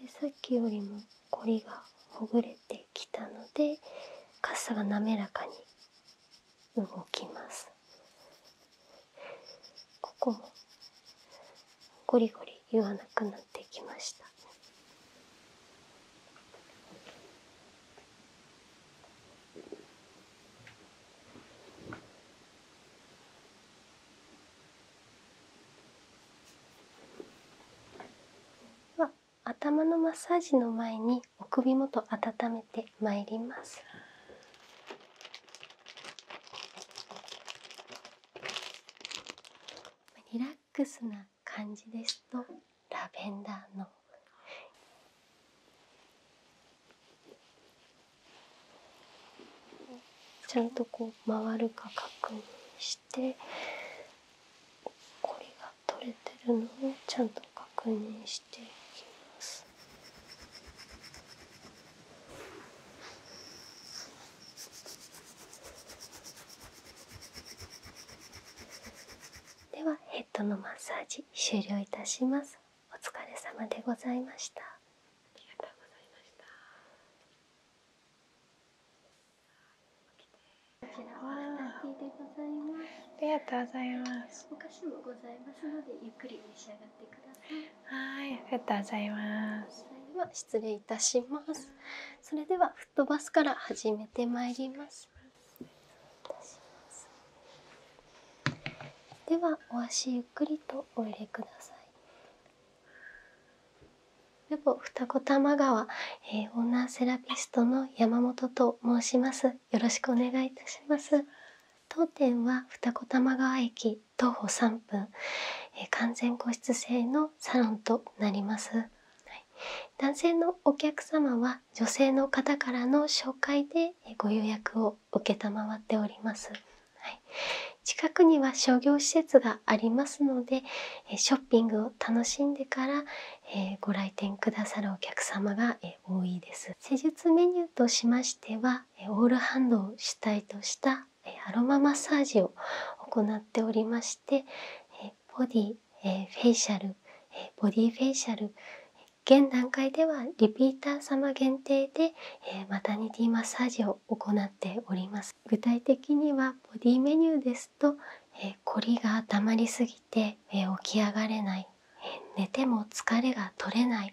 でさっきよりもこりがほぐれてきたのでかさが滑らかに動きますここもゴリゴリ言わなくなってきました頭のマッサージの前にお首元温めてまいりますリラックスな感じですラベンダーのちゃんとこう回るか確認して。しこりが取れてるのをちゃんと確認してではヘッドのマッサージ終了いたします。お疲れ様でございました。ありがとうございました。こちらはラテでございますありがとうございますお菓子もございますのでゆっくり召し上がってくださいはいありがとうございますでは失礼いたしますそれではフットバスから始めてまいりますではお足ゆっくりとお入れくださいルボ二子玉川、えオーナーセラピストの山本と申します。よろしくお願いいたします。当店は二子玉川駅徒歩3分、え完全個室制のサロンとなります、男性のお客様は女性の方からの紹介でご予約を承っております。はい、近くには商業施設がありますのでショッピングを楽しんでから、えご来店くださるお客様が、え多いです施術メニューとしましてはオールハンドを主体としたアロママッサージを行っておりましてボディ、えフェイシャル、えボディフェイシャル現段階ではリピーター様限定で、えマタニティマッサージを行っております。具体的にはボディメニューですと、え凝りが溜まりすぎて、え起き上がれない、寝ても疲れが取れない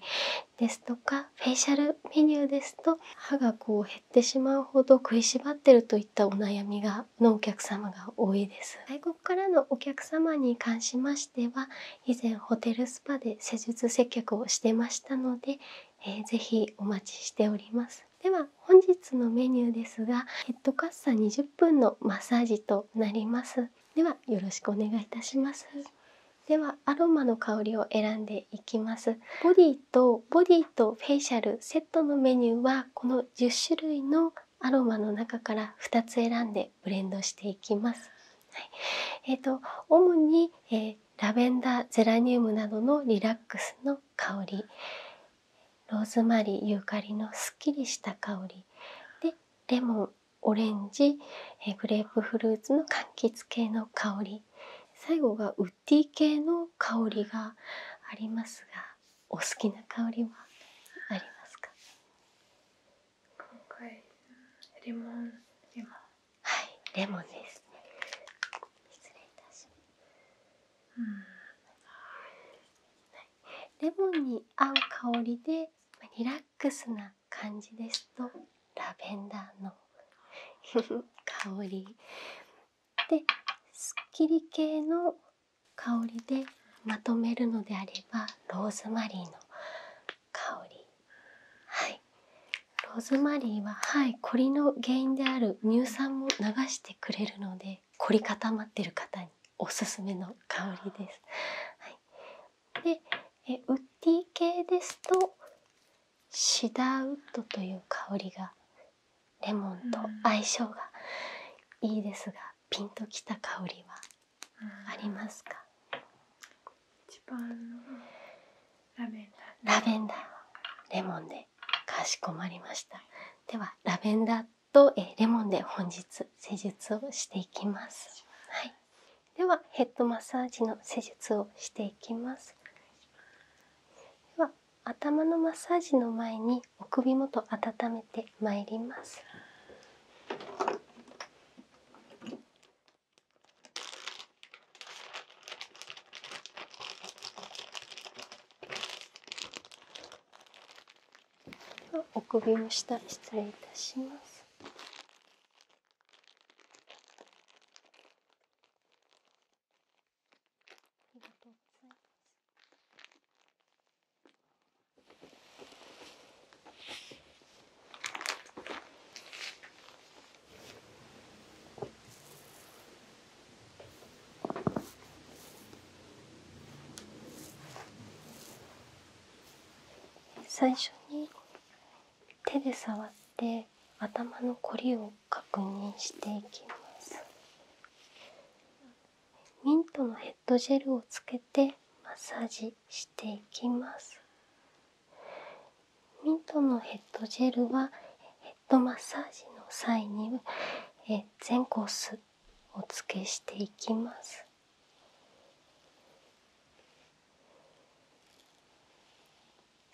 ですとかフェイシャルメニューですと歯がこう減ってしまうほど食いしばってるといったお悩みがのお客様が多いです外国からのお客様に関しましては以前ホテルスパで施術接客をしてましたので、えー、ぜお待ちしておりますでは本日のメニューですがヘッドカッサ20分のマッサージとなりますではよろしくお願いいたしますではアロマの香りを選んでいきますボディとボディとフェイシャルセットのメニューはこの10種類のアロマの中から2つ選んでブレンドしていきますえーと、主に、えラベンダーゼラニウムなどのリラックスの香りローズマリーユーカリのすっきりした香りでレモンオレンジ、えー、グレープフルーツの柑橘系の香り最後がウッディ系の香りがありますがお好きな香りはありますか今回レモンレはいレモンですねレモンに合う香りでリラックスな感じですとラベンダーの 香りですっきり系の香りでまとめるのであればローズマリーの香りはいローズマリーははい凝りの原因である乳酸も流してくれるので凝り固まってる方におすすめの香りです。でウッディ系ですとシダーウッドという香りがレモンと相性がいいですがピンときた香りはありますか一番ラベンダーレモンでかしこまりましたではラベンダーとえレモンで本日施術をしていきますはいではヘッドマッサージの施術をしていきますでは頭のマッサージの前にお首元温めてまいりますではお首の下失礼いたしますありがとうございます最初に手で触って頭のこりを確認していきますミントのヘッドジェルをつけてマッサージしていきますミントのヘッドジェルはドマッサージの際にえ全コースお付けしていきます。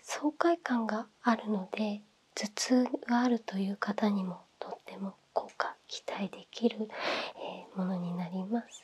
爽快感があるので頭痛があるという方にもとっても効果期待できる、えものになります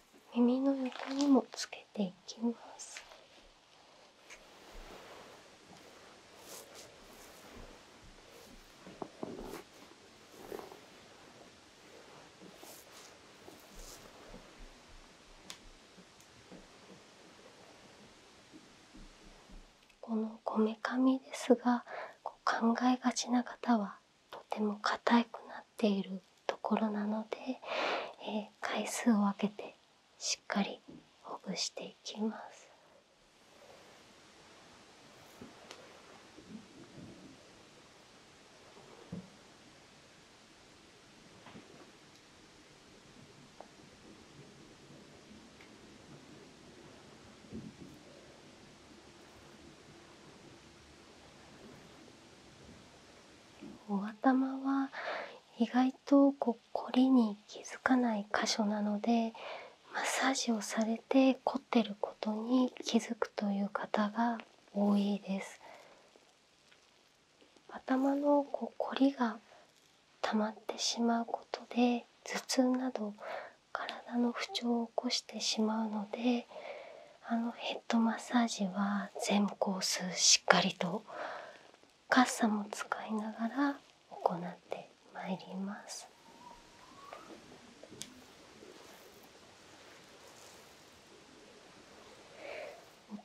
耳の横にもつけていきます。このこめかみですが考えがちな方はとても硬くなっているところなので、回数を分けてしっかりほぐしていきます。お頭は意外とこ凝りに気づかない箇所なのでマッサージをされて凝ってることに気づくという方が多いです頭のこ凝りが溜まってしまうことで頭痛など体の不調を起こしてしまうのであのヘッドマッサージは全コースしっかりとカッサも使いながら行ってまいります。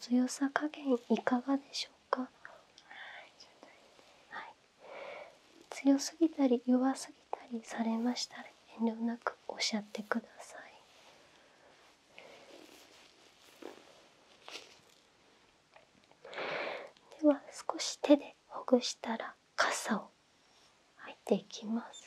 強さ加減いかがでしょうか、強すぎたり弱すぎたりされましたら遠慮なくおっしゃってくださいでは少し手でほぐしたら傘を入っていきます。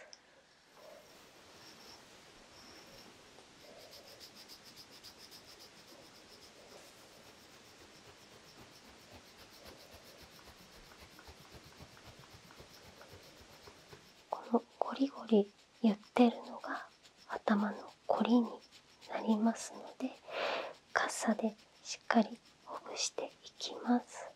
このゴリゴリ言ってるのが頭のこりになりますのでカッサでしっかりほぐしていきます。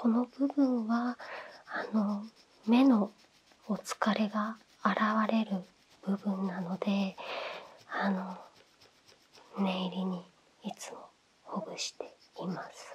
この部分はあの目のお疲れが現れる部分なのであの念入りにいつもほぐしています。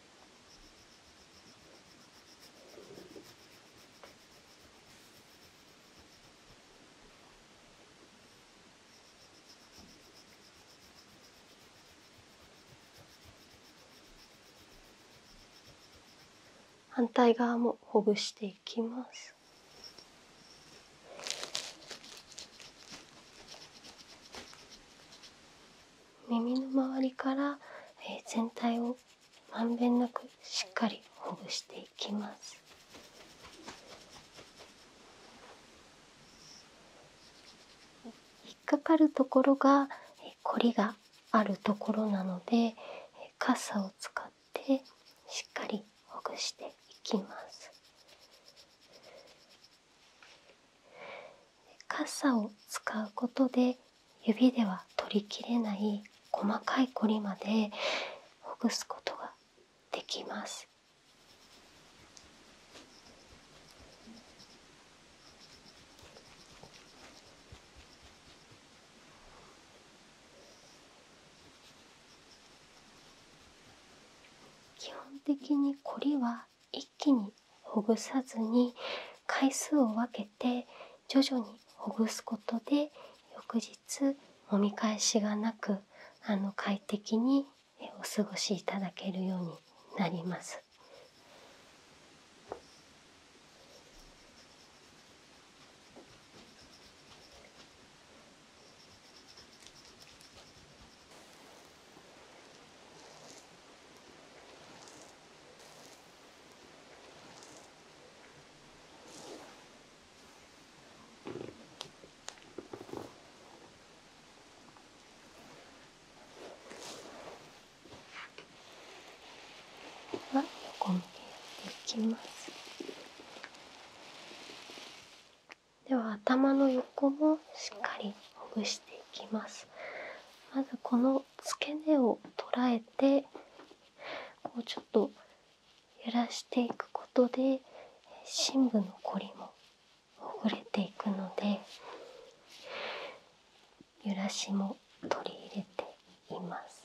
反対側もほぐしていきます。耳の周りから、全体をまんべんなくしっかりほぐしていきます。引っかかるところがこりがあるところなので傘を使ってしっかりほぐしていきます傘を使うことで指では取りきれない細かい凝りまでほぐすことができます。基本的に凝りは一気にほぐさずに回数を分けて徐々にほぐすことで翌日もみ返しがなくあの快適にお過ごしいただけるようになります。では頭の横もしっかりほぐしていきますまずこの付け根を捉えてこうちょっと揺らしていくことで深部の凝りもほぐれていくので揺らしも取り入れています。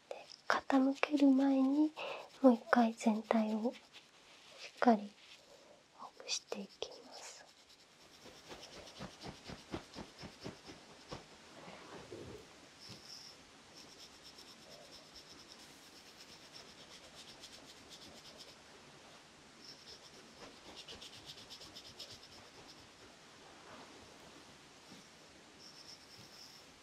傾ける前にもう一回全体をしっかりほぐしていきます。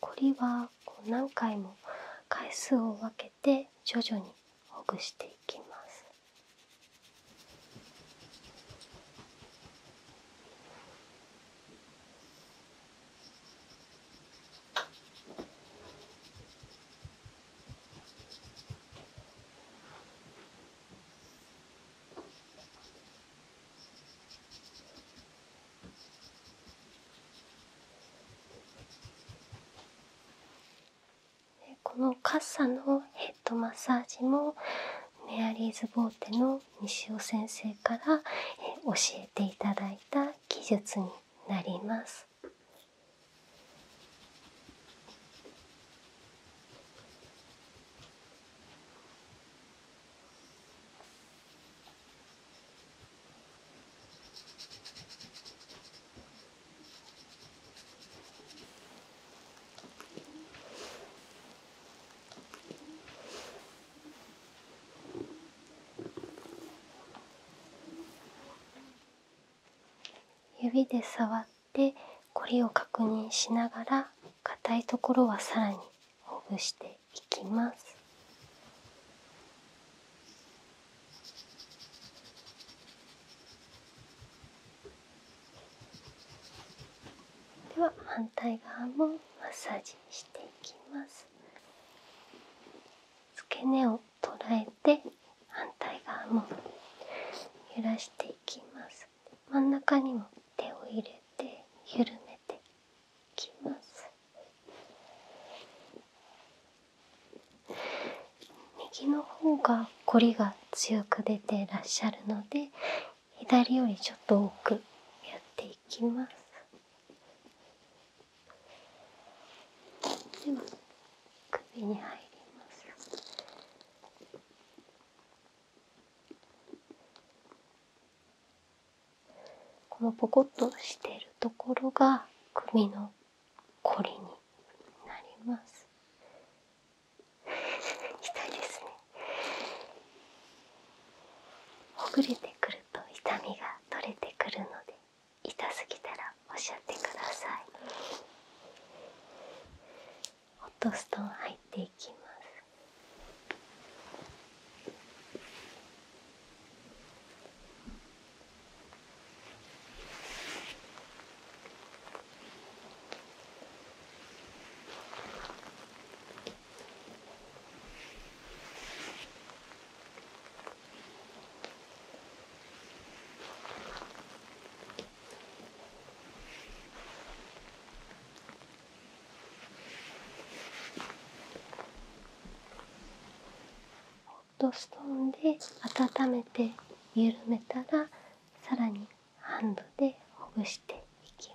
こりは何回も回数を分けて徐々にほぐしていきます。このカッサのヘッドマッサージもメアリーズ・ボーテの西尾先生から教えていただいた技術になります。指で触って凝りを確認しながら硬いところはさらにほぐしていいきます。では反対側もマッサージしていきます。付け根を捉えて反対側も揺らしていきます。真ん中にも手を入れて緩めてきます右の方が凝りが強く出てらっしゃるので左よりちょっと多くやっていきますでは首に入りますこのポコッとしてるところが首のこりになります。ほぐれてくると痛みが取れてくるので痛すぎたらおっしゃってください。ホットストーン入って。ってきます。ホットストーンで温めて緩めたらさらにハンドでほぐしていきます。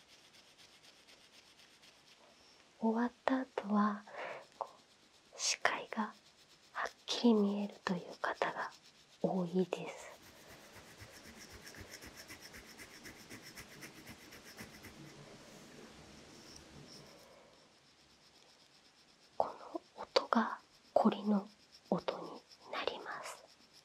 終わった後は視界がはっきり見えるという方が多いです。この音がコリの音になります。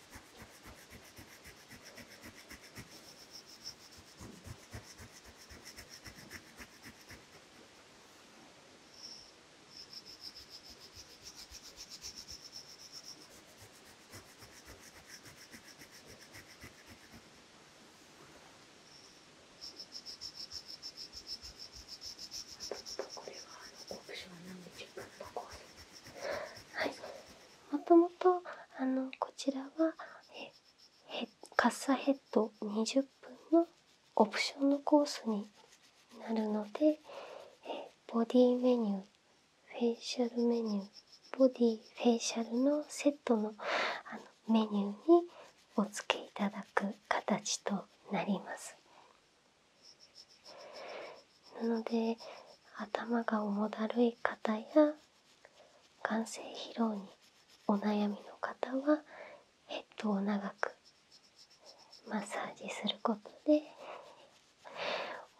とこれはあのオプションなんで10分とこはいもともとあのこちらは。カッサヘッド20分のオプションのコースになるのでボディメニューフェイシャルメニューボディフェイシャルのセットののメニューにお付けいただく形となります。なので頭が重だるい方や眼性疲労にお悩みの方はヘッドを長くマッサージすることで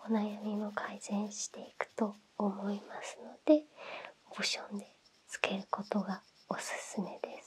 お悩みも改善していくと思いますのでオプションでつけることがおすすめです。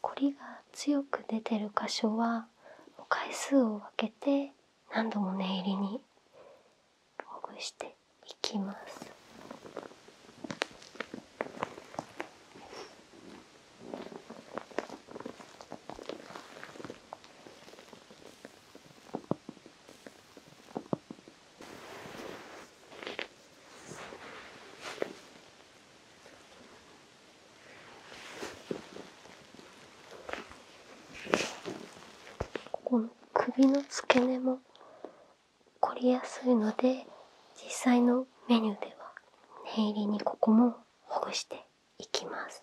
コリが強く出てる箇所は回数を分けて何度も念入りにほぐしていきます。この首の付け根も凝りやすいので実際のメニューでは念入りにここもほぐしていきます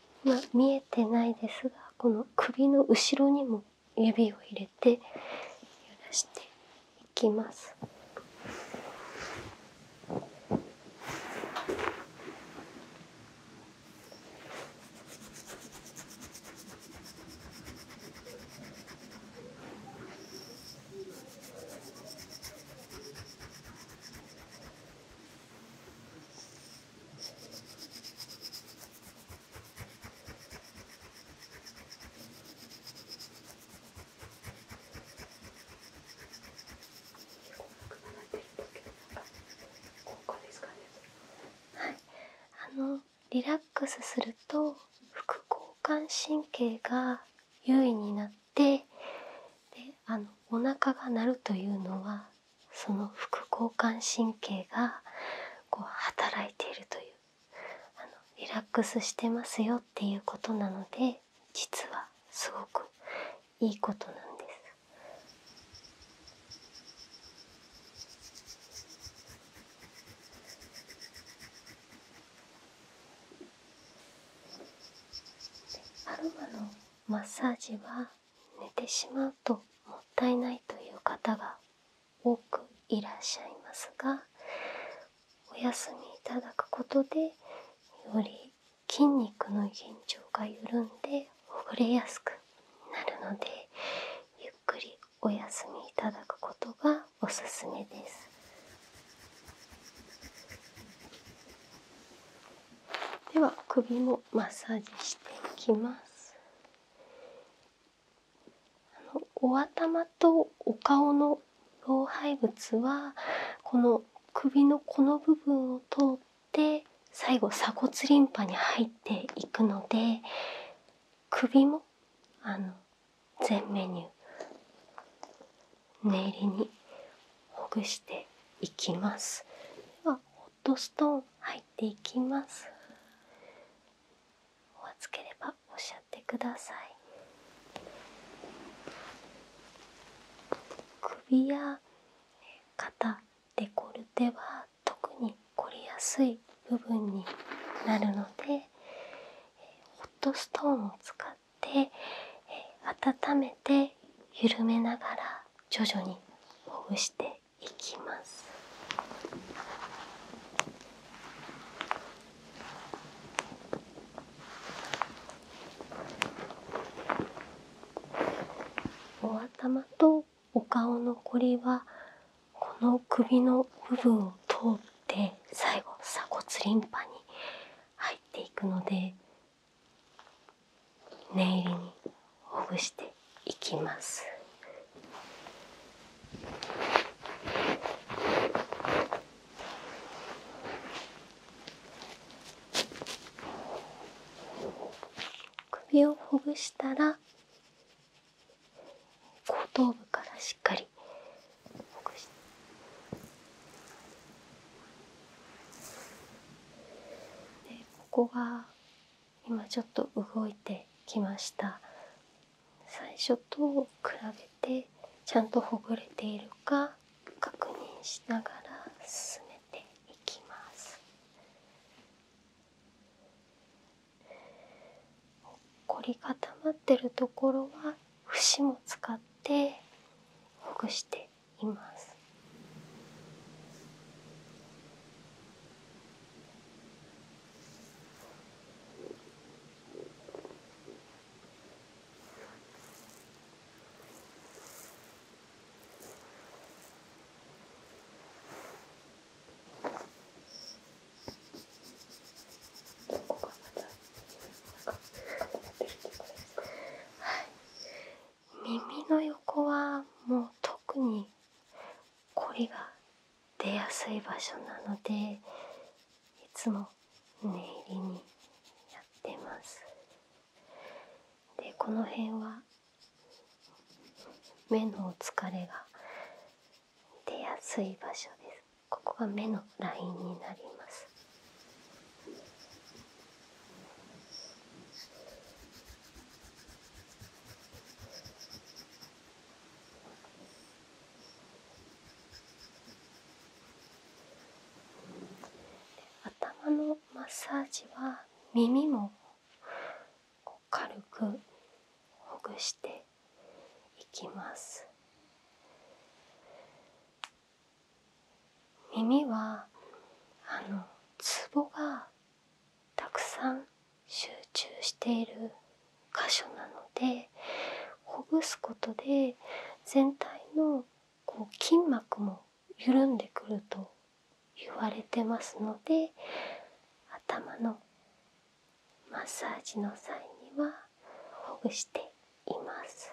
ま見えてないですがこの首の後ろにも指を入れて揺らしていきます。はい、あのリラックスすると副交感神経が優位になってであのお腹が鳴るというのはその副交感神経がこう働いているというあのリラックスしてますよっていうことなので実はすごくいいことなんです。アロマのマッサージは寝てしまうともったいないという方が多くいらっしゃいますがお休みいただくことでより筋肉の緊張が緩んでほぐれやすくなるのでゆっくりお休みいただくことがおすすめです。では首もマッサージしていきますあのお頭とお顔の老廃物はこの首のこの部分を通って最後鎖骨リンパに入っていくので首もあの全メニュー念入りにほぐしていきますでホットストーン入っていきますお熱ければおっしゃってください首や肩デコルテは特に凝りやすい部分になるのでホットストーンを使って温めて緩めながら徐々にほぐしていきます。お頭とお顔のこりはこの首の部分を通って最後鎖骨リンパに入っていくので念入りにほぐしていきます首をほぐしたら後頭部からしっかりほぐしてここが今ちょっと動いてきました最初と比べてちゃんとほぐれているか確認しながら進めていきます凝り固まってるところは節も使ってほぐしていますはい耳の横はもう特にこりが出やすい場所なのでいつも念入りにやってますでこの辺は目のお疲れが出やすい場所ですここが目のラインになります頭のマッサージは耳も軽くほぐしていきます耳はあのツボがたくさん集中している箇所なのでほぐすことで全体のこう筋膜も緩んでくると言われてますので頭のマッサージの際にはほぐしています。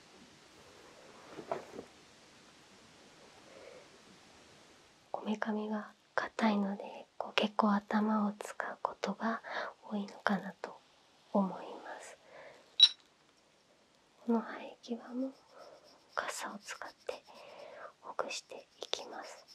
こめかみが硬いのでこう結構頭を使うことが多いのかなと思いますこの生え際も傘を使ってほぐしていきます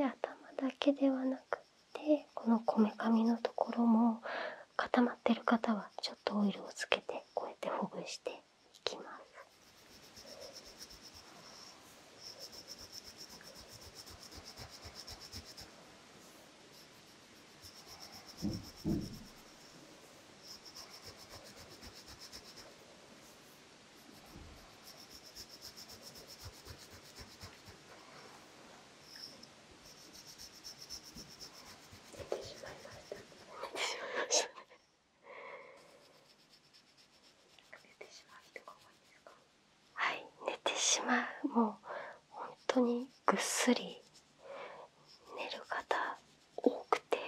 頭だけではなくて。でこのこめかみのところも固まってる方はちょっとオイルをつけてこうやってほぐしていきます。はい寝てしまうもう本当にぐっすり寝る方多くて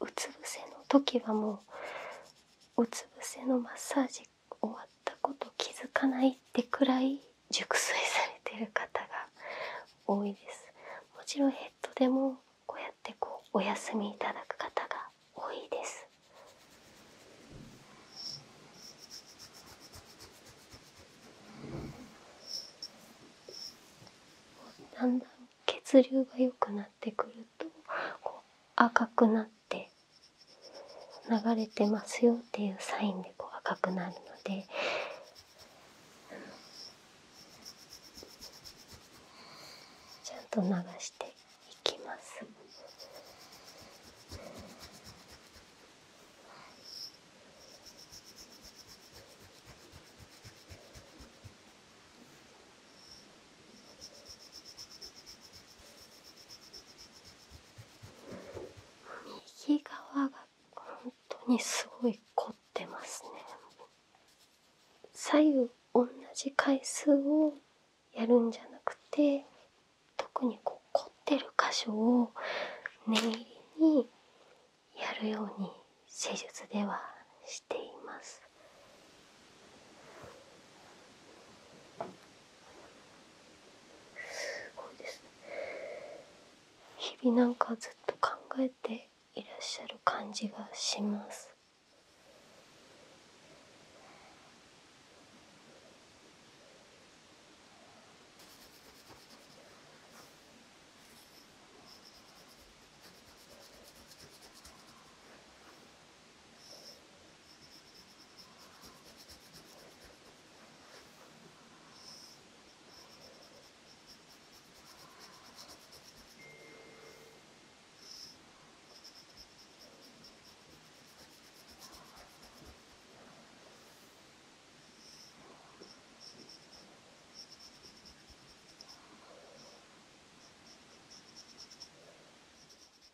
うつ伏せの時はもううつ伏せのマッサージ終わったこと気づかないってくらい熟睡されてる方が多いですもちろんヘッドでもこうやってこうお休みいただく方が多いですだんだん血流が良くなってくるとこう赤くなって流れてますよっていうサインでこう赤くなるので。ちゃんと流していきます。右側が本当にすごい凝ってますね左右同じ回数をやるんじゃなくて特にこう凝ってる箇所を念入りにやるように施術ではしています。すごいですね日々なんかずっと考えていらっしゃる感じがします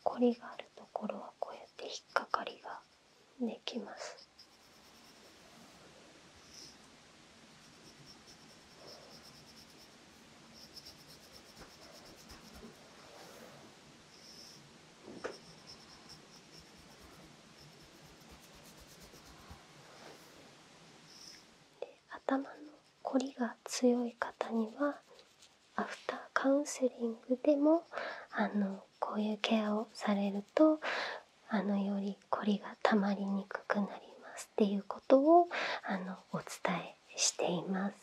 コリがあるところはこうやって引っかかりができます。頭のこりが強い方にはアフターカウンセリングでもあのこういうケアをされるとあのよりこりがたまりにくくなりますっていうことをあのお伝えしています。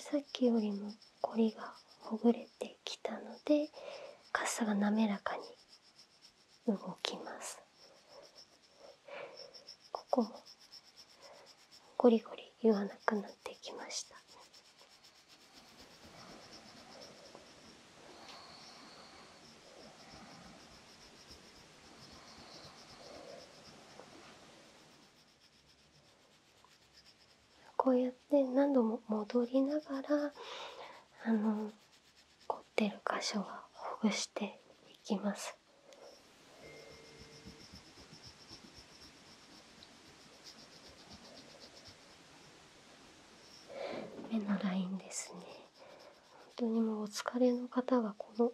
さっきよりもこりがほぐれてきたのでかさが滑らかに動きますここもゴリゴリ言わなくなってきましたこうやって何度も戻りながらあの凝ってる箇所はほぐしていきます。目のラインですね。本当にもうお疲れの方がこの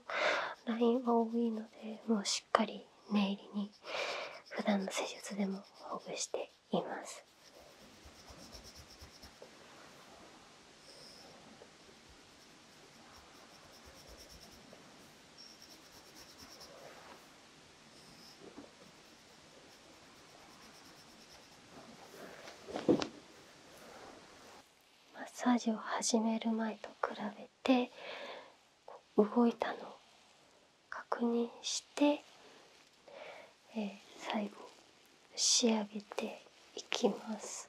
ラインは多いので、もうしっかり念入りに普段の施術でもほぐしています。マッサージを始める前と比べて動いたのを確認してえー、最後仕上げていきます。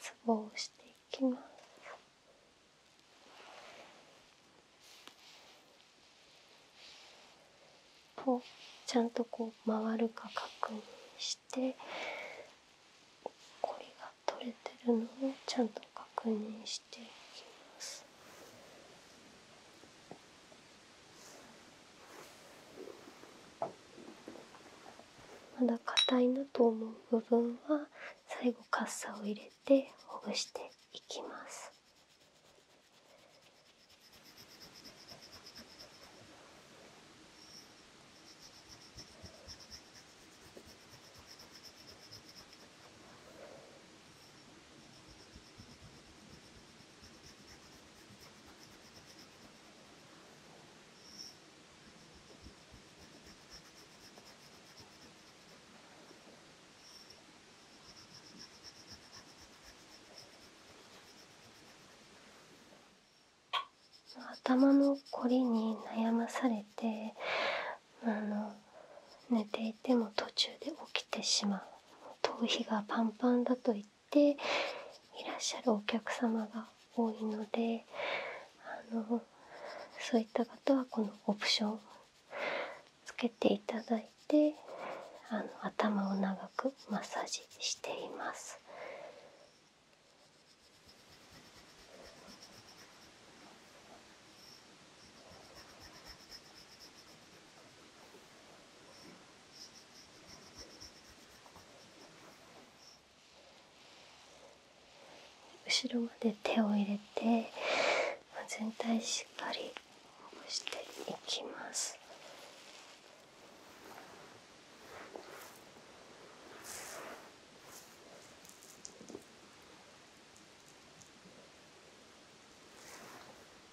ツボをしていきますちゃんとこう回るか確認してこりが取れてるのをちゃんと確認していきます。。まだ硬いなと思う部分は最後カッサを入れてほぐしていきます。頭の凝りに悩まされて寝ていても途中で起きてしまう頭皮がパンパンだと言っていらっしゃるお客様が多いのであのそういった方はこのオプションつけていただいてあの頭を長くマッサージしています。後ろまで手を入れて全体しっかりほぐしていきます。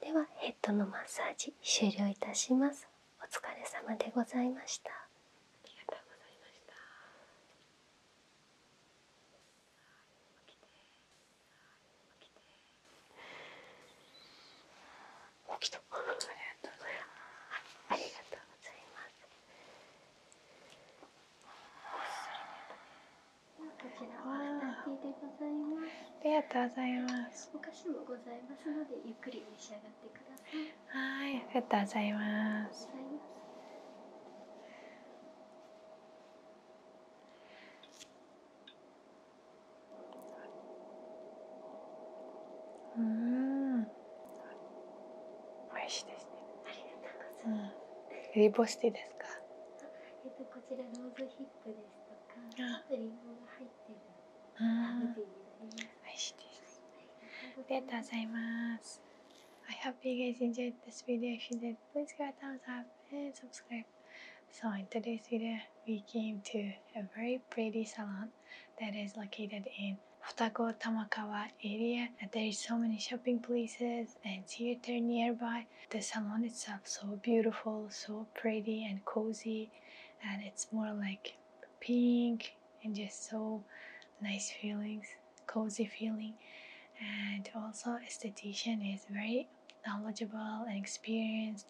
ではヘッドのマッサージ終了いたしますお疲れ様でございましたありがとうございますありがとうございますちらお二人でございますありがとうございますお菓子もございますのでゆっくり召し上がってくださいはいありがとうございますうん美味しいですねありがとうございます、リボスティですかえっとこちらローズヒップですとありがとうございます。I ah. hope you guys enjoyed this video. If you did, please give a thumbs up and subscribe. So in today's video, we came to a very pretty salon that is located in Futago Tamakawa area. And there is so many shopping places and theater nearby the salon itself so beautiful so pretty and cozy and it's more like pink and just so nice feelings cozy feeling and also esthetician is very knowledgeable and experienced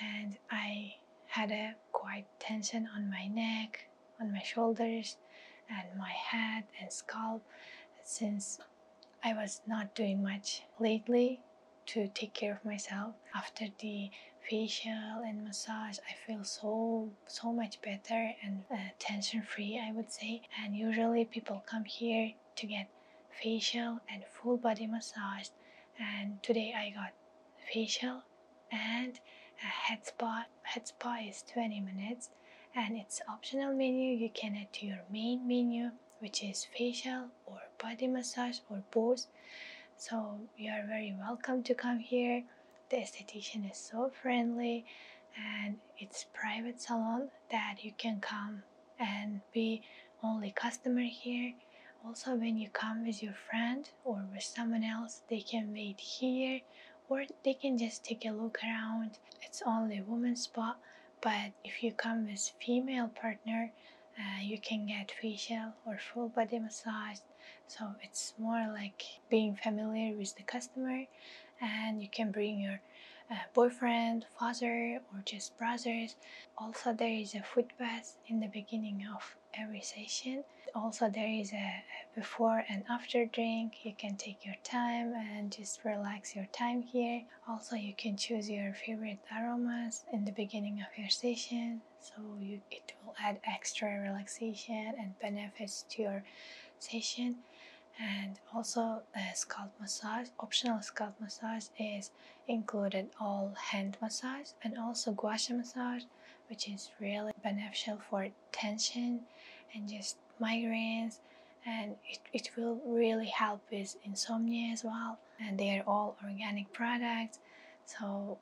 and i had a quite tension on my neck on my shoulders and my head and scalp since I was not doing much lately to take care of myself. After the facial and massage, I feel so so much better and uh, tension free, I would say. And usually people come here to get facial and full body massage. And today I got facial and a head spa. Head spa is 20 minutes and it's optional menu. You can add to your main menu which is facial or body massage or both so you are very welcome to come here the esthetician is so friendly and it's private salon that you can come and be only customer here also when you come with your friend or with someone else they can wait here or they can just take a look around it's only woman spa but if you come with female partner uh, you can get facial or full body massage so it's more like being familiar with the customer and you can bring your uh, boyfriend father or just brothers also there is a foot bath in the beginning of every session also there is a before and after drink you can take your time and just relax your time here also you can choose your favorite aromas in the beginning of your session so it will add extra relaxation and benefits to your session and also scalp massage optional scalp massage is included all hand massage and also gua sha massage which is really beneficial for tension and just migraines and it, it will really help with insomnia as well and they are all organic products so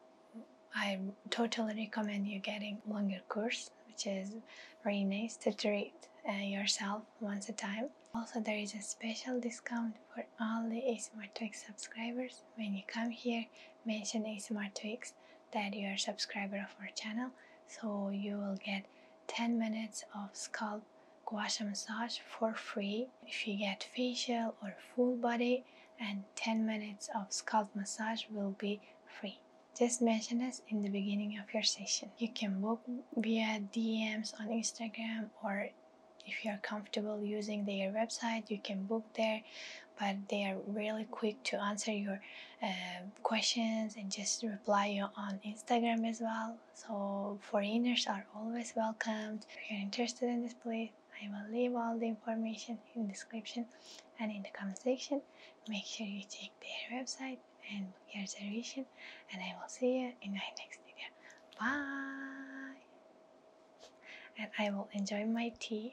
I totally recommend you getting longer course which is very nice to treat uh, yourself once a time also there is a special discount for all the ASMR Twix subscribers when you come here mention ASMR Twix that you are subscriber of our channel so you will get 10 minutes of scalp facial massage for free if you get facial or full body and 10 minutes of scalp massage will be free just mention this in the beginning of your session you can book via dms on instagram or if you are comfortable using their website you can book there but they are really quick to answer your uh, questions and just reply you on instagram as well so foreigners are always welcomed. If you're interested in this place, I will leave all the information in the description and in the comment section. Make sure you check their website and book your reservation and I will see you in my next video. Bye! And I will enjoy my tea.